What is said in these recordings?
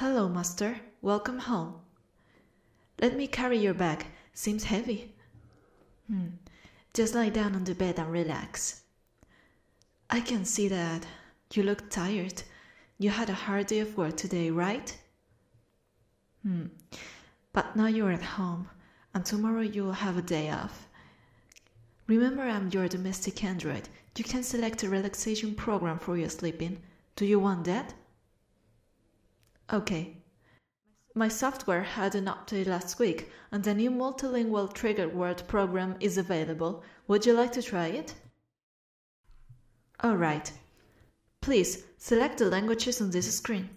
Hello, master. Welcome home. Let me carry your bag. Seems heavy. Hmm. Just lie down on the bed and relax. I can see that you look tired. You had a hard day of work today, right? Hmm. But now you're at home, and tomorrow you'll have a day off. Remember, I'm your domestic android. You can select a relaxation program for your sleeping. Do you want that? Okay. My software had an update last week, and a new multilingual trigger word program is available. Would you like to try it? Alright. Please select the languages on this screen.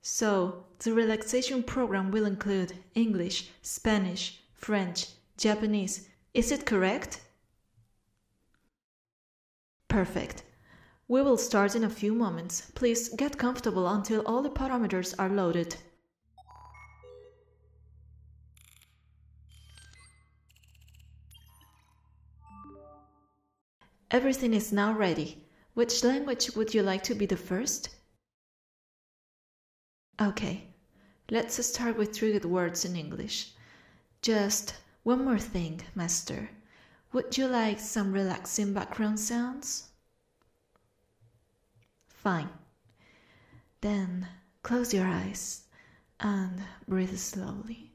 So, the relaxation program will include English, Spanish, French, Japanese. Is it correct? Perfect. We will start in a few moments. Please get comfortable until all the parameters are loaded. Everything is now ready. Which language would you like to be the first? Okay, let's start with three good words in English. Just one more thing, Master. Would you like some relaxing background sounds? Fine. Then close your eyes and breathe slowly.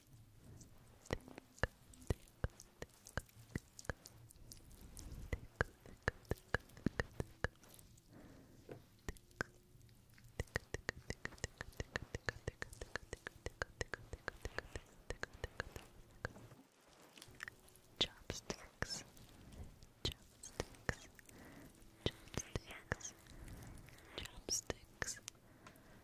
Chopsticks, chopsticks, chopsticks, chopsticks,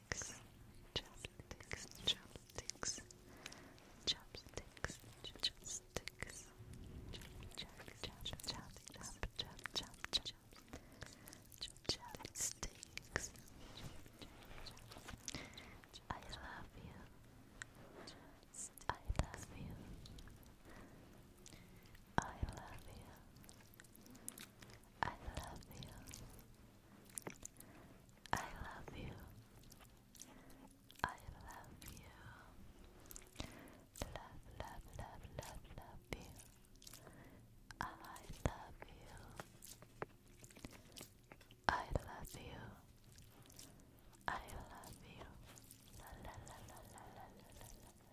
chopsticks, chopsticks, chopsticks, chopsticks, chopsticks, chopsticks, I love you. I love you. I love you. I love you. I love you. I love you. Love, love, love, love, love you. I love you. I love you. I love you. La la la la la la la la la.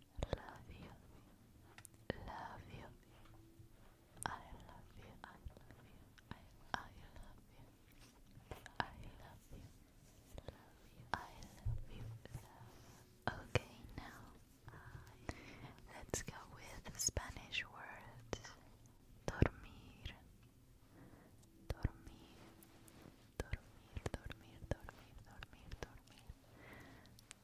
love you, love you, I love you, I love you, I, I love you, I love you, love you, I love you, love. Okay, now let's go with Spanish words. Dormir, dormir, dormir, dormir, dormir, dormir, dormir.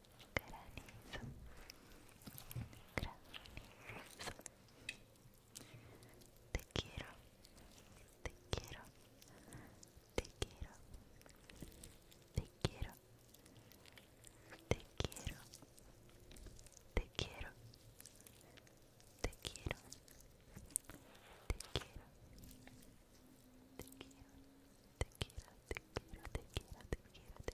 granizo, granizo. Te quiero, te quiero, te quiero, te quiero, te quiero, te quiero, te quiero, te quiero, te quiero, te quiero, te quiero, te quiero, te quiero, te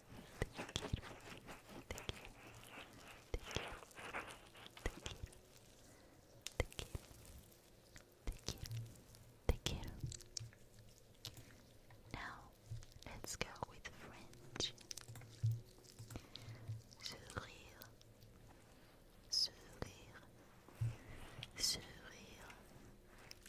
Te quiero. Now, let's go with French. Sourire, sourire, sourire,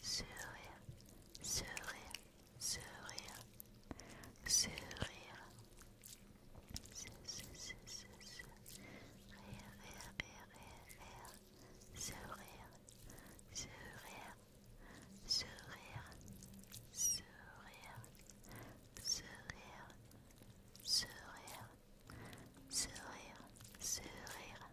sourire, sourire, sourire, sourire, sourire, sourire, sourire, sourire, sourire, sourire, sourire, sourire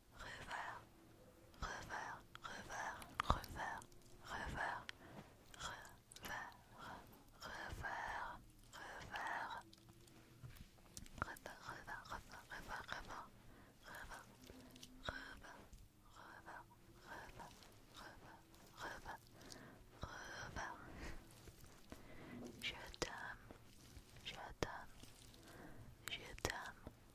revers, revers, revers, revers, revers, revers, revers, revers, revers, revers, revers, revers, revers, revers, revers, Je t'aime, je t'aime, je t'aime,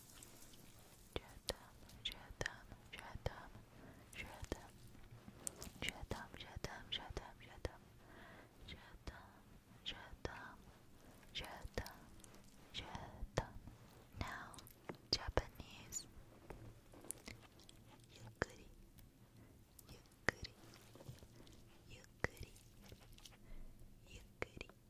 Chatham, Chatham, Chatham, Chatham, Chatham, Chatham, Chatham, Chatham, Chatham, Chatham, Chatham, Chatham. Now, Japanese. Yukuri, Yukuri, Yukuri, Yukuri.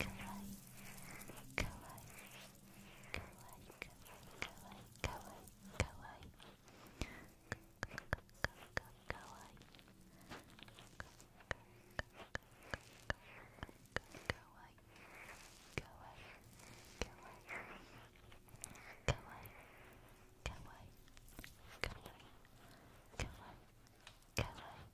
kawaii, kawaii, kawaii, kawaii, kawaii, kawaii, kawaii, kawaii, kawaii, kawaii, kawaii, kawaii,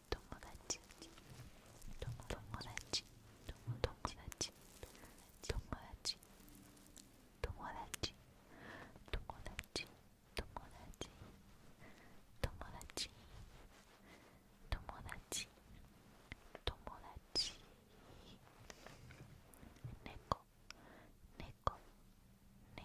友達友達友達友達友達友達友達友達友達友達猫猫猫